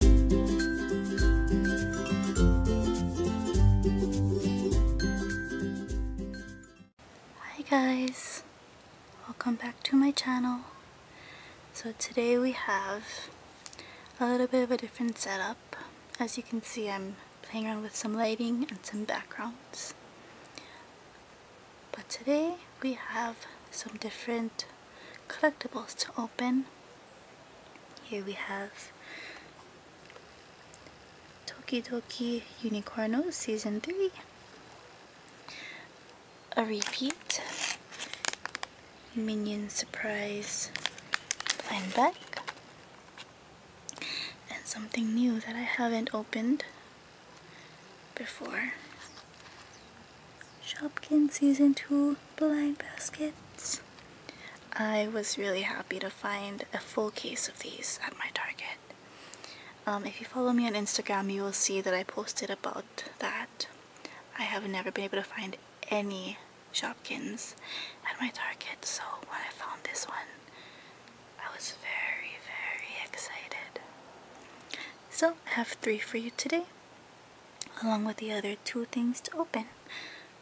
Hi guys, welcome back to my channel. So today we have a little bit of a different setup. As you can see I'm playing around with some lighting and some backgrounds. But today we have some different collectibles to open here we have Tokidoki Unicorno Season 3. A repeat. Minion Surprise blind bag. And something new that I haven't opened before. Shopkins Season 2 blind baskets. I was really happy to find a full case of these at my Target. Um, if you follow me on Instagram, you will see that I posted about that. I have never been able to find any Shopkins at my Target, so when I found this one, I was very, very excited. So, I have three for you today along with the other two things to open.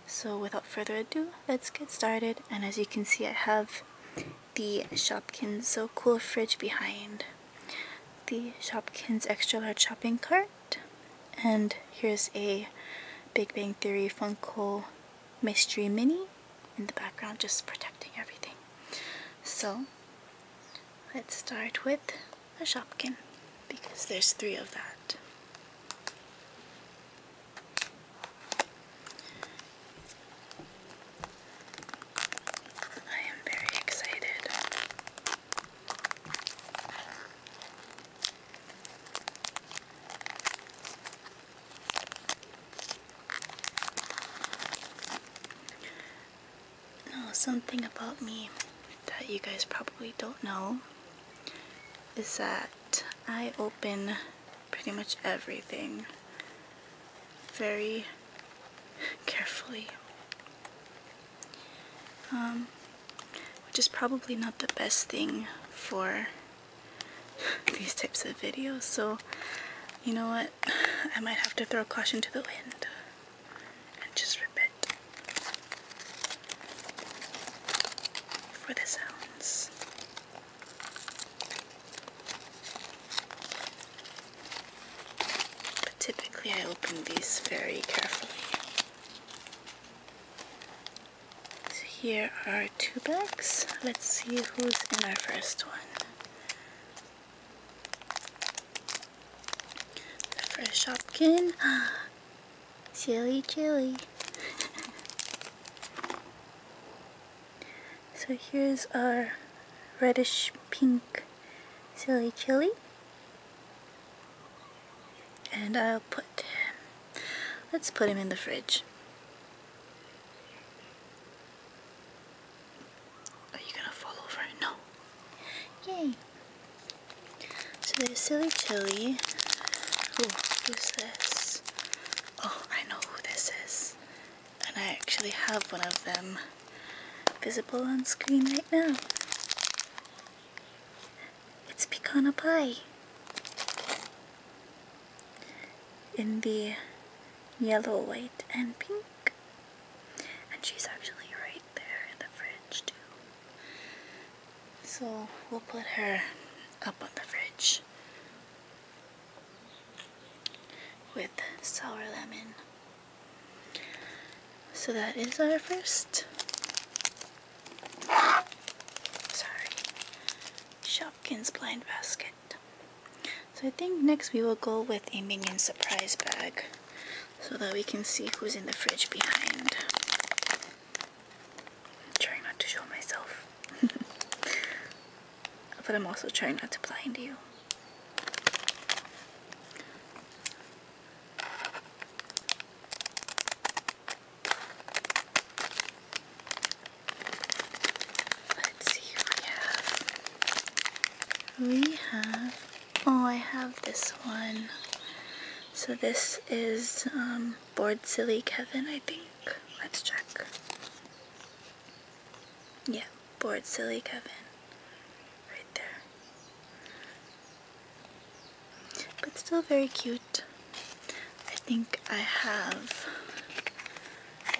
So without further ado, let's get started. And as you can see, I have the Shopkins So Cool fridge behind. The Shopkins extra large shopping cart. And here's a Big Bang Theory Funko Mystery Mini in the background, just protecting everything. So let's start with a shopkin because there's three of that. I am very excited. Now, oh, something about me that you guys probably don't know is that I open pretty much everything very carefully. Um, which is probably not the best thing for these types of videos, so you know what? I might have to throw caution to the wind and just repeat for the sounds. But typically, I open these very carefully. So, here are two bags. Let's see who's in our first one. The fresh hopkin. Silly chili. so here's our reddish pink silly chili. And I'll put, let's put him in the fridge. Are you gonna fall over? No. Yay. So there's Silly Chili. who's this? Oh, I know who this is. And I actually have one of them visible on screen right now. It's pecan Pie. In the yellow, white, and pink. And she's actually right there in the fridge too. So we'll put her up on the fridge with sour lemon. So that is our first sorry Shopkins blind basket. So I think next we will go with a Minion surprise bag so that we can see who's in the fridge behind. i not to show myself. but I'm also trying not to blind you. Let's see we have. Oh, I have this one. So this is um, Bored Silly Kevin, I think. Let's check. Yeah, Bored Silly Kevin. Right there. But still very cute. I think I have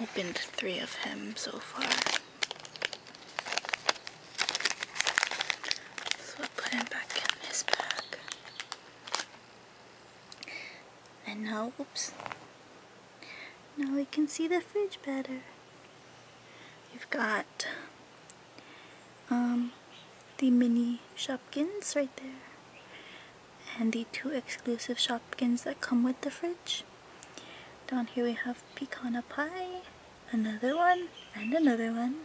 opened three of him so far. So I put him back in his bag. And now, oops. Now we can see the fridge better. You've got um, the mini Shopkins right there and the two exclusive shopkins that come with the fridge. Down here we have pecan pie, another one, and another one.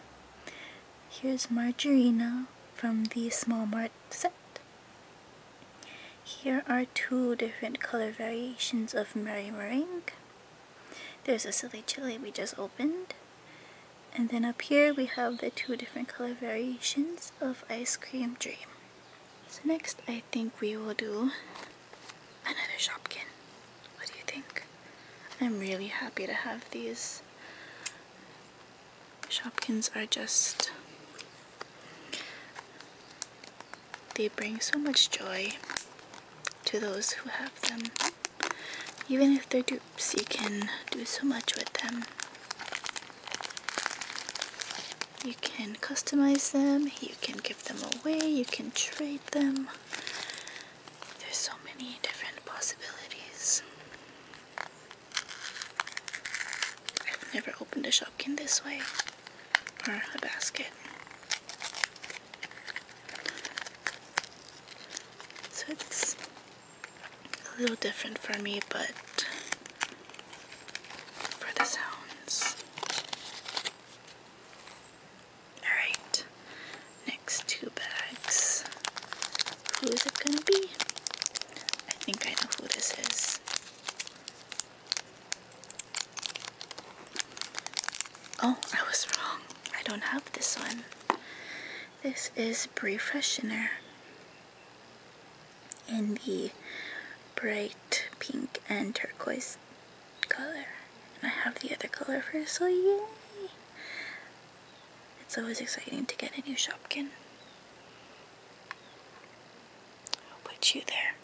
Here's margarina from the small mart set. Here are two different color variations of Mary Meringue. There's a silly chili we just opened. And then up here we have the two different color variations of Ice Cream Dream. So next I think we will do another Shopkin. What do you think? I'm really happy to have these. Shopkins are just... They bring so much joy to those who have them. Even if they're dupes, you can do so much with them. You can customize them, you can give them away, you can trade them. There's so many different possibilities. I've never opened a shopkin this way, or a basket. So it's a little different for me, but for the sounds. Alright, next two bags. Who is it gonna be? I think I know who this is. Oh, I was wrong. I don't have this one. This is Brie Freshener in the bright pink and turquoise color. And I have the other color first, so yay! It's always exciting to get a new Shopkin. I'll put you there.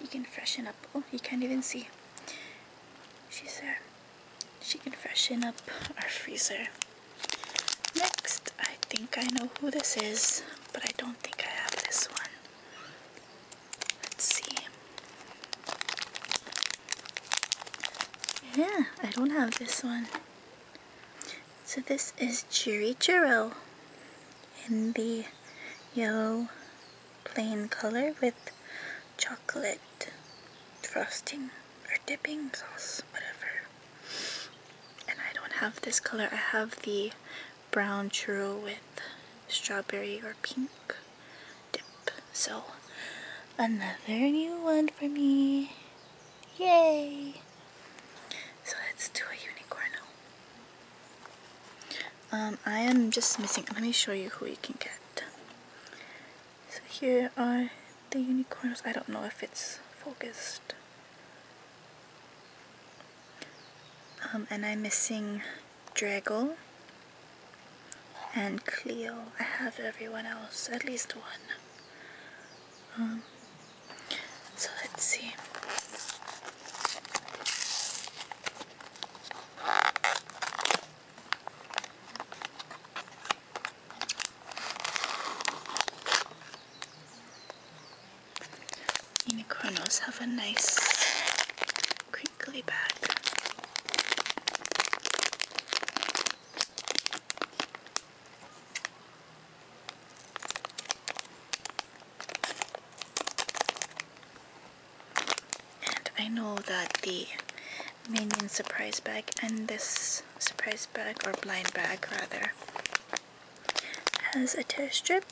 You can freshen up. Oh, you can't even see. She's there. She can freshen up our freezer. Next, I think I know who this is, but I don't think I have this one. Let's see. Yeah, I don't have this one. So this is Chiri Churro in the yellow plain color with chocolate white frosting or dipping sauce, whatever. And I don't have this color. I have the brown churro with strawberry or pink dip. So another new one for me. Yay! So let's do a unicorn. Um, I am just missing. Let me show you who you can get. So here are the unicorns. I don't know if it's focused. Um, and I'm missing Draggle and Cleo. I have everyone else, at least one. Um, so let's see. Unicornos have a nice crinkly bag. And I know that the minion surprise bag and this surprise bag or blind bag rather has a tear strip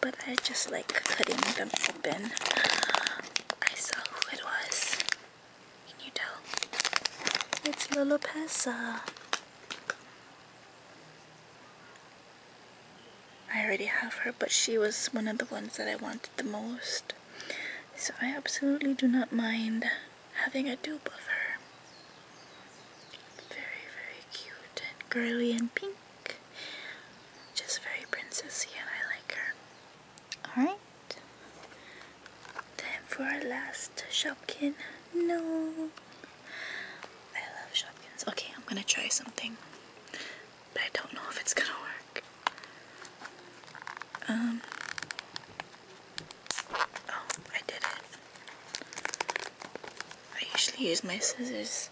but I just like cutting them open I saw who it was can you tell? it's Lilopessa I already have her but she was one of the ones that I wanted the most so I absolutely do not mind having a dupe of her. Very, very cute and girly and pink. Just very princessy and I like her. Alright. Time for our last Shopkin. No. I love Shopkins. Okay, I'm gonna try something but I don't know if it's gonna work. Um. Oh, I did it. I usually use my scissors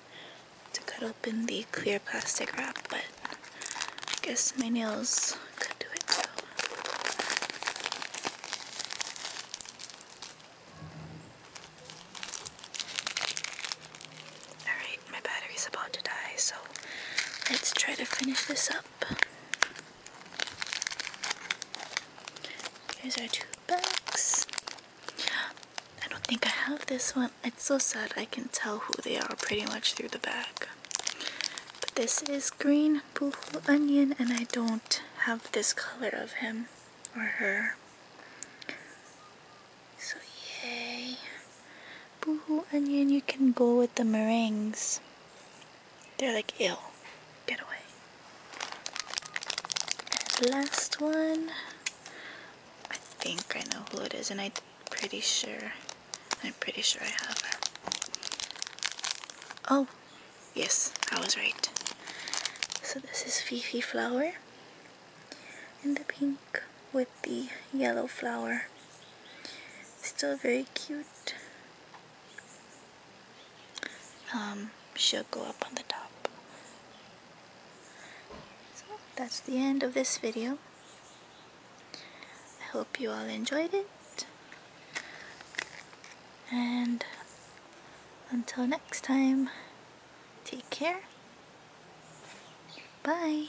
to cut open the clear plastic wrap, but I guess my nails could do it too. Alright, my battery's about to die, so let's try to finish this up. Here's our two bags. I don't think I have this one. It's so sad I can tell who they are pretty much through the bag. But this is green boohoo onion and I don't have this color of him or her. So yay. Boohoo Onion, you can go with the meringues. They're like ill. Get away. And last one. I think I know who it is and I'm pretty sure. I'm pretty sure I have Oh, yes, I was right. So this is Fifi Flower in the pink with the yellow flower. Still very cute. Um, she'll go up on the top. So that's the end of this video. I hope you all enjoyed it. And until next time. Take care. Bye.